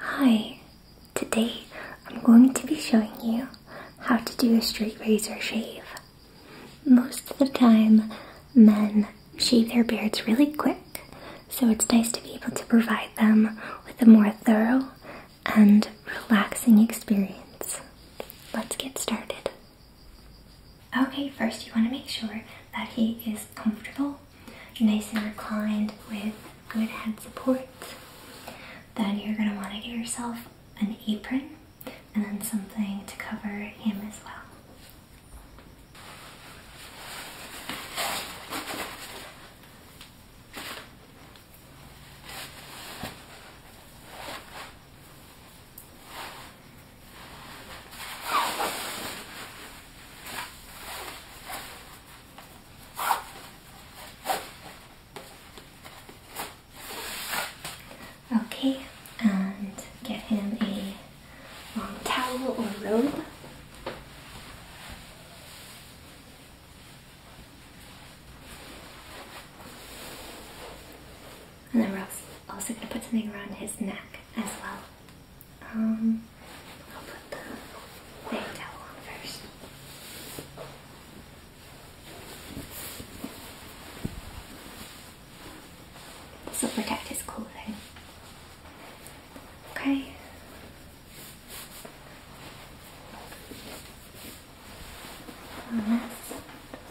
Hi, today I'm going to be showing you how to do a straight razor shave. Most of the time, men shave their beards really quick, so it's nice to be able to provide them with a more thorough and relaxing experience. Let's get started. Okay, first you want to make sure that he is comfortable, nice and reclined with good head support. Then you're going to want to get yourself an apron and then something to cover him as well. Okay, and get him a towel or robe. And then Rosie also going to put something around his neck as well. Um, I'll put the big on first. This will protect his clothing. Okay. Unless,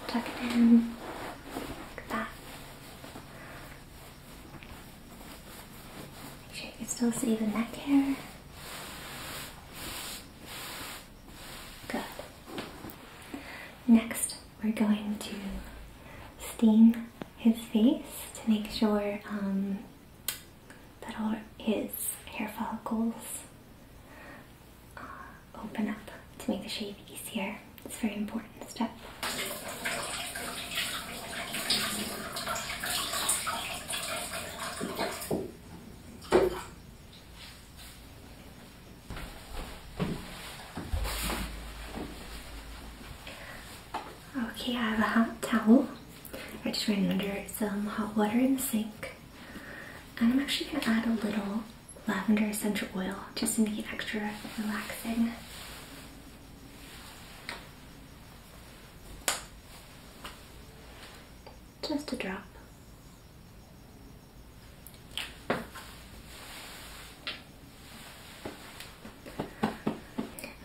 tuck it in like that. Make sure you can still see the neck hair. Good. Next, we're going to steam his face to make sure um, that all his hair follicles uh, open up to make the shave easier. It's very important step. Okay, I have a hot towel. I just ran under some hot water in the sink. And I'm actually going to add a little lavender essential oil just to make it extra relaxing. Just a drop.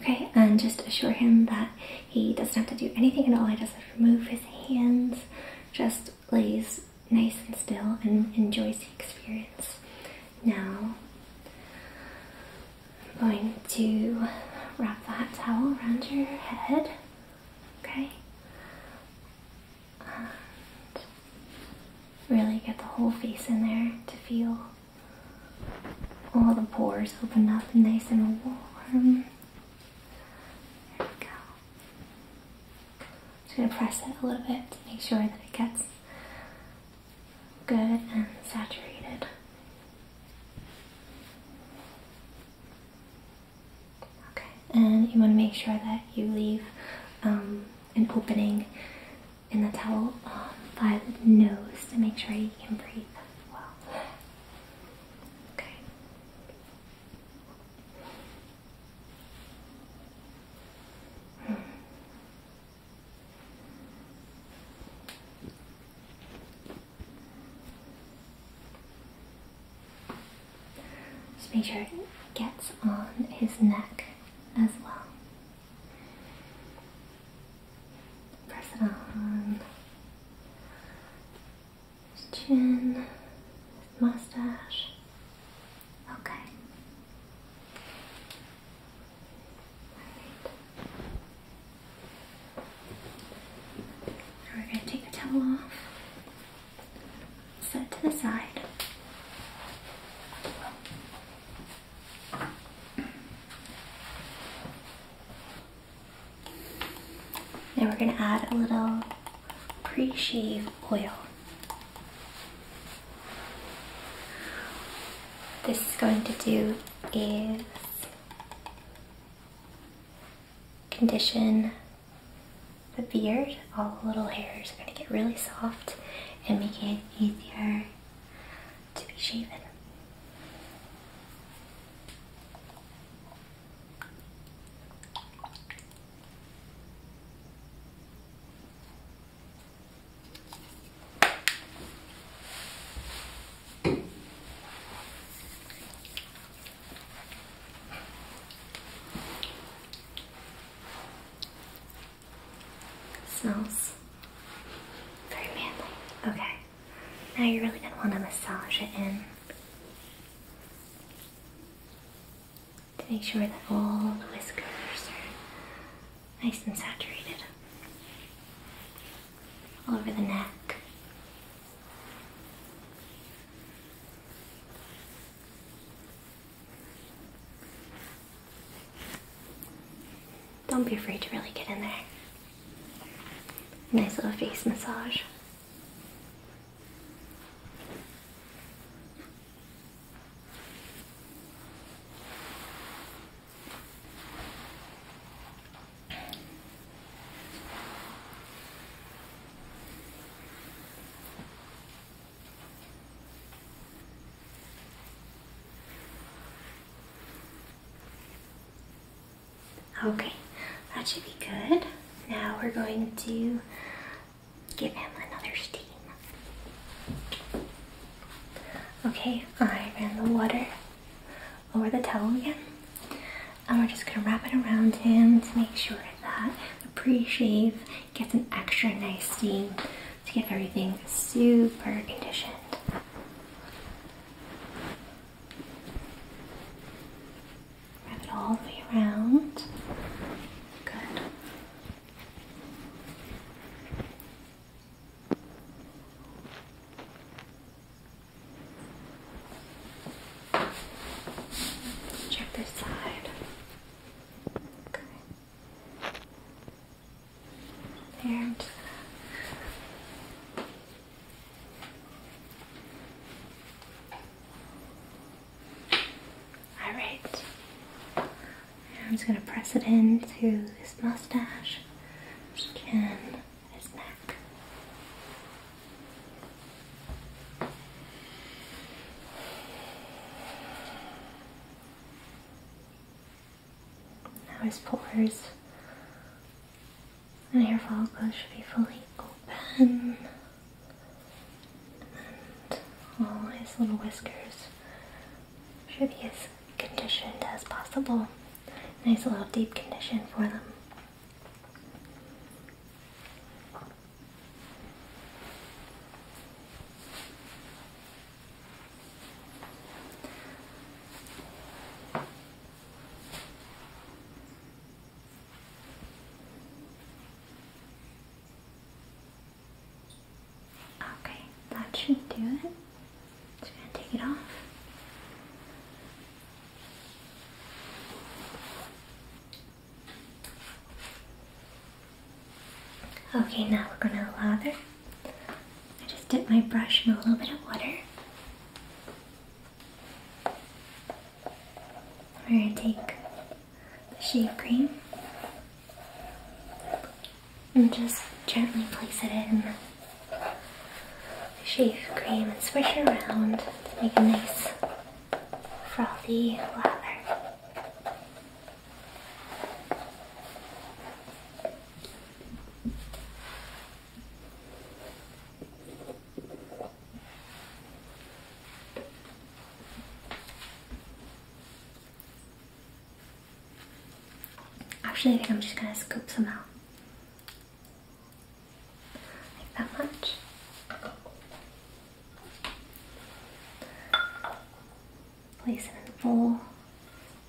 Okay, and just assure him that he doesn't have to do anything at all. He doesn't remove his hands, just lays nice and still and enjoys the experience. Now, I'm going to wrap that towel around your head, okay? really get the whole face in there to feel all the pores open up nice and warm. There we go just going to press it a little bit to make sure that it gets good and saturated. Okay, and you want to make sure that you leave um, an opening in the towel by the nose to make sure you can breathe well. Okay. Just make sure it gets on his neck as well. Press it on chin, mustache. Okay. All right. We're going to take the towel off, set to the side. Now we're gonna add a little pre-shave oil. This is going to do is condition the beard. All the little hairs are gonna get really soft and make it easier to be shaven. Smells very manly. Okay. Now you're really going to want to massage it in to make sure that all the whiskers are nice and saturated all over the neck. Don't be afraid to really get in there. Nice little face massage. Okay, that should be good. Now we're going to give him another steam. Okay, I ran the water over the towel again. And we're just gonna wrap it around him to make sure that the pre-shave gets an extra nice steam to get everything super conditioned. Wrap it all the way around. Good. Check this side. Okay. There. All right. I'm just gonna press it into his mustache, skin, his neck. Now his pores My hair follicles should be fully open. And all his little whiskers should be as conditioned as possible. Nice little deep condition for them. Okay, that should do it. Just gonna take it off. Okay, now we're gonna lather. I just dip my brush in a little bit of water. We're going to take the shave cream and just gently place it in the shave cream and swish it around to make a nice frothy lather. Actually, I think I'm just going to scoop some out. that much. Place in the bowl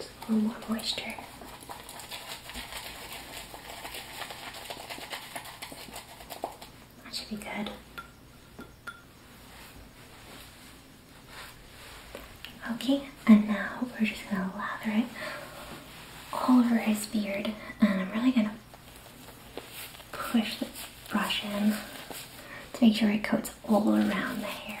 a little more moisture. That should be good. Okay, and now we're just gonna lather it all over his beard, and I'm really gonna push the brush in to make sure it coats all around the hair.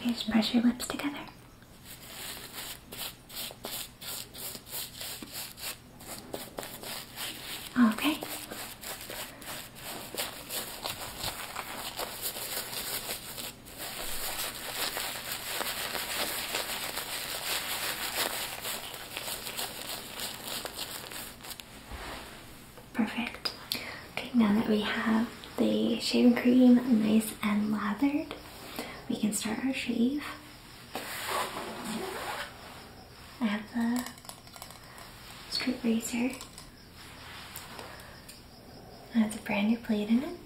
Okay, just press your lips together. Okay. Perfect. Okay, now that we have the shaving cream nice and lathered, we can start our shave. I have the straight razor. It has a brand new blade in it.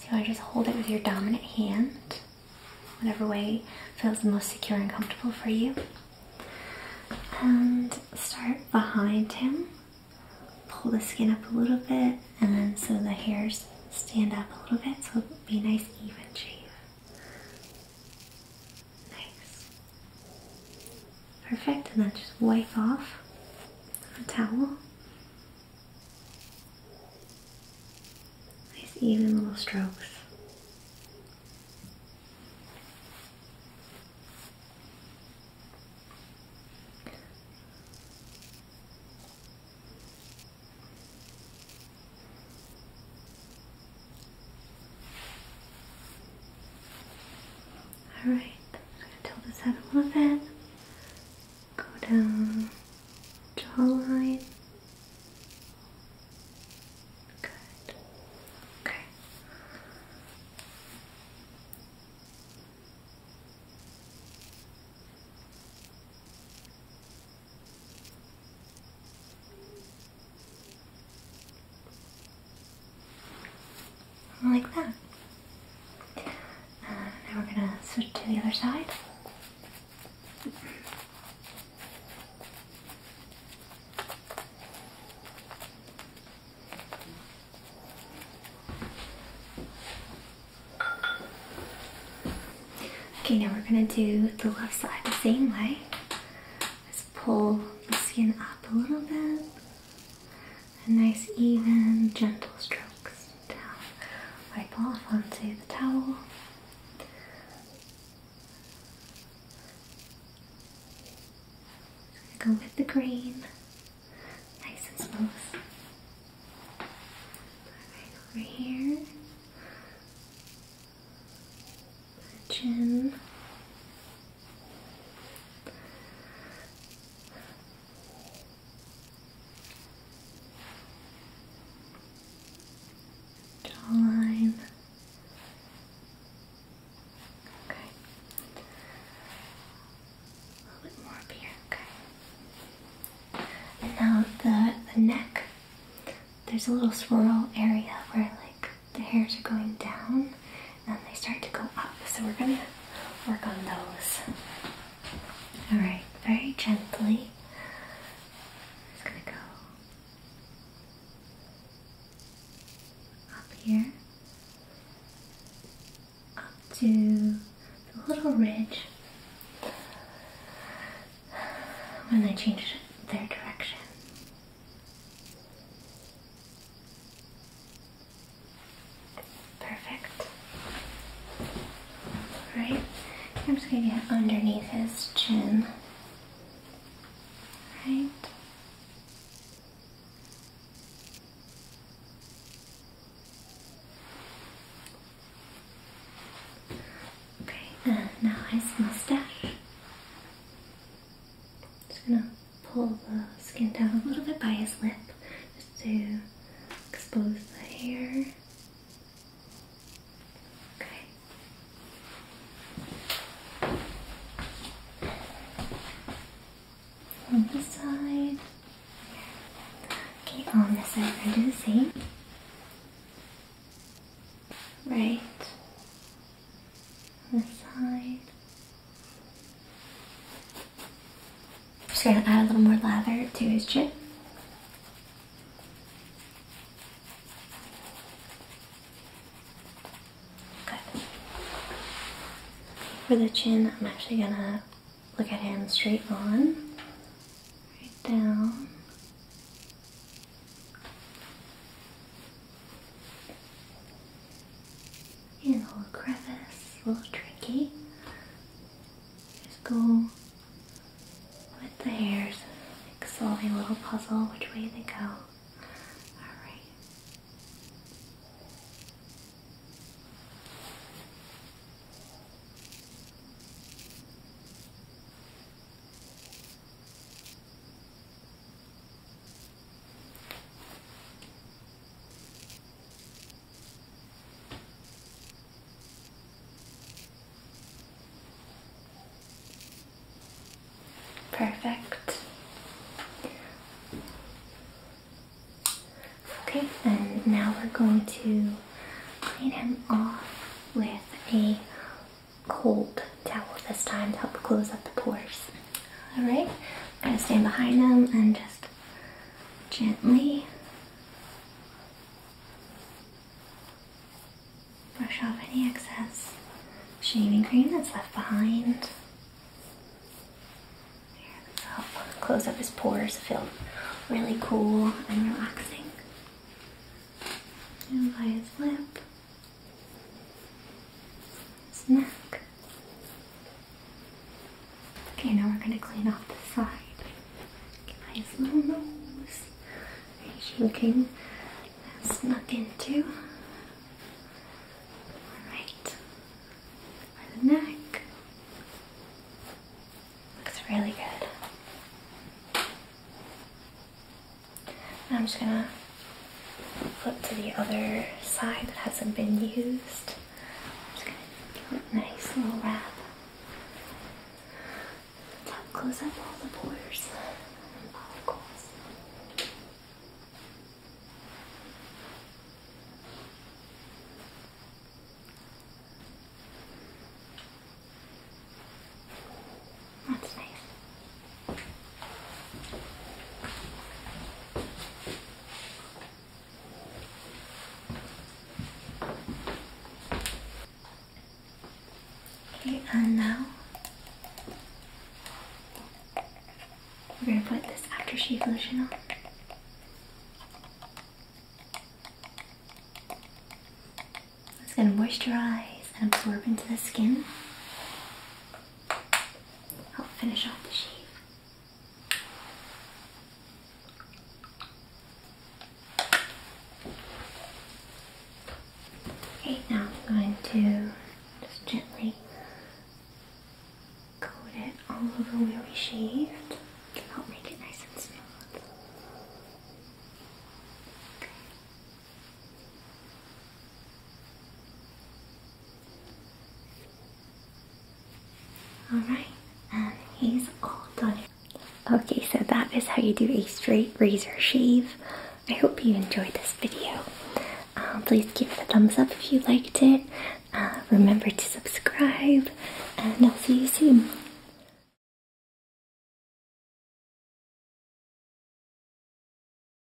So I just hold it with your dominant hand whatever way feels most secure and comfortable for you. And start behind him. Pull the skin up a little bit, and then so the hairs stand up a little bit, so it'll be nice even shape. Nice. Perfect, and then just wipe off with a towel. Nice even little strokes. Alright, I'm going to tilt this head a little bit go down jawline. Good. Okay. Like that. now we're going to switch to the other side. Okay, now we're gonna do the left side the same way. Let's pull the skin up a little bit. And nice even gentle strokes down, wipe off onto the towel. Go with the green, nice and smooth. Alright, over here, chin. Jawline. Okay. A little bit more up here. Okay. And now the the neck. There's a little swirl area where like the hairs are going down and then they start to go up. So we're gonna work on those. Alright, very gently. i gonna go up here, up to the little ridge when they change their direction. Perfect. Alright, I'm just going to get underneath his chin. Right. Okay, and now his mustache. Just gonna pull the skin down a little bit by his lip to expose the hair. Okay. On this side. Okay, on this side Right. On this side. Just gonna add a little more lather to his chin. Good. For the chin, I'm actually gonna look at him straight on, right down. Yeah, a little crevice, a little tricky. Just go with the hairs, like solve a little puzzle, which way they go. Alright. Perfect. Okay, and now we're going to clean him off with a cold towel this time to help close up the pores. Alright, I'm going to stand behind him and just gently brush off any excess shaving cream that's left behind. close up his pores, feel really cool and relaxing. And by his lip snack. Okay, now we're gonna clean off the side. Look at his little nose. He's looking snuck into. Alright. For the neck. Looks really good. I'm just gonna flip to the other side that hasn't been used. I'm just gonna give it a nice little wrap. close up all the pores That's nice. Okay, and now we're going to put this after aftershave lotion on. It's going to moisturize and absorb into the skin. I'll finish off the sheaf. Okay, now I'm going to just gently coat it all over where we shaved. Help make it nice and smooth. Okay. Alright, and he's all done. Okay, so that is how you do a straight razor shave. I hope you enjoyed this video. Uh, please give it a thumbs up if you liked it. Uh, remember to subscribe, and I'll see you soon.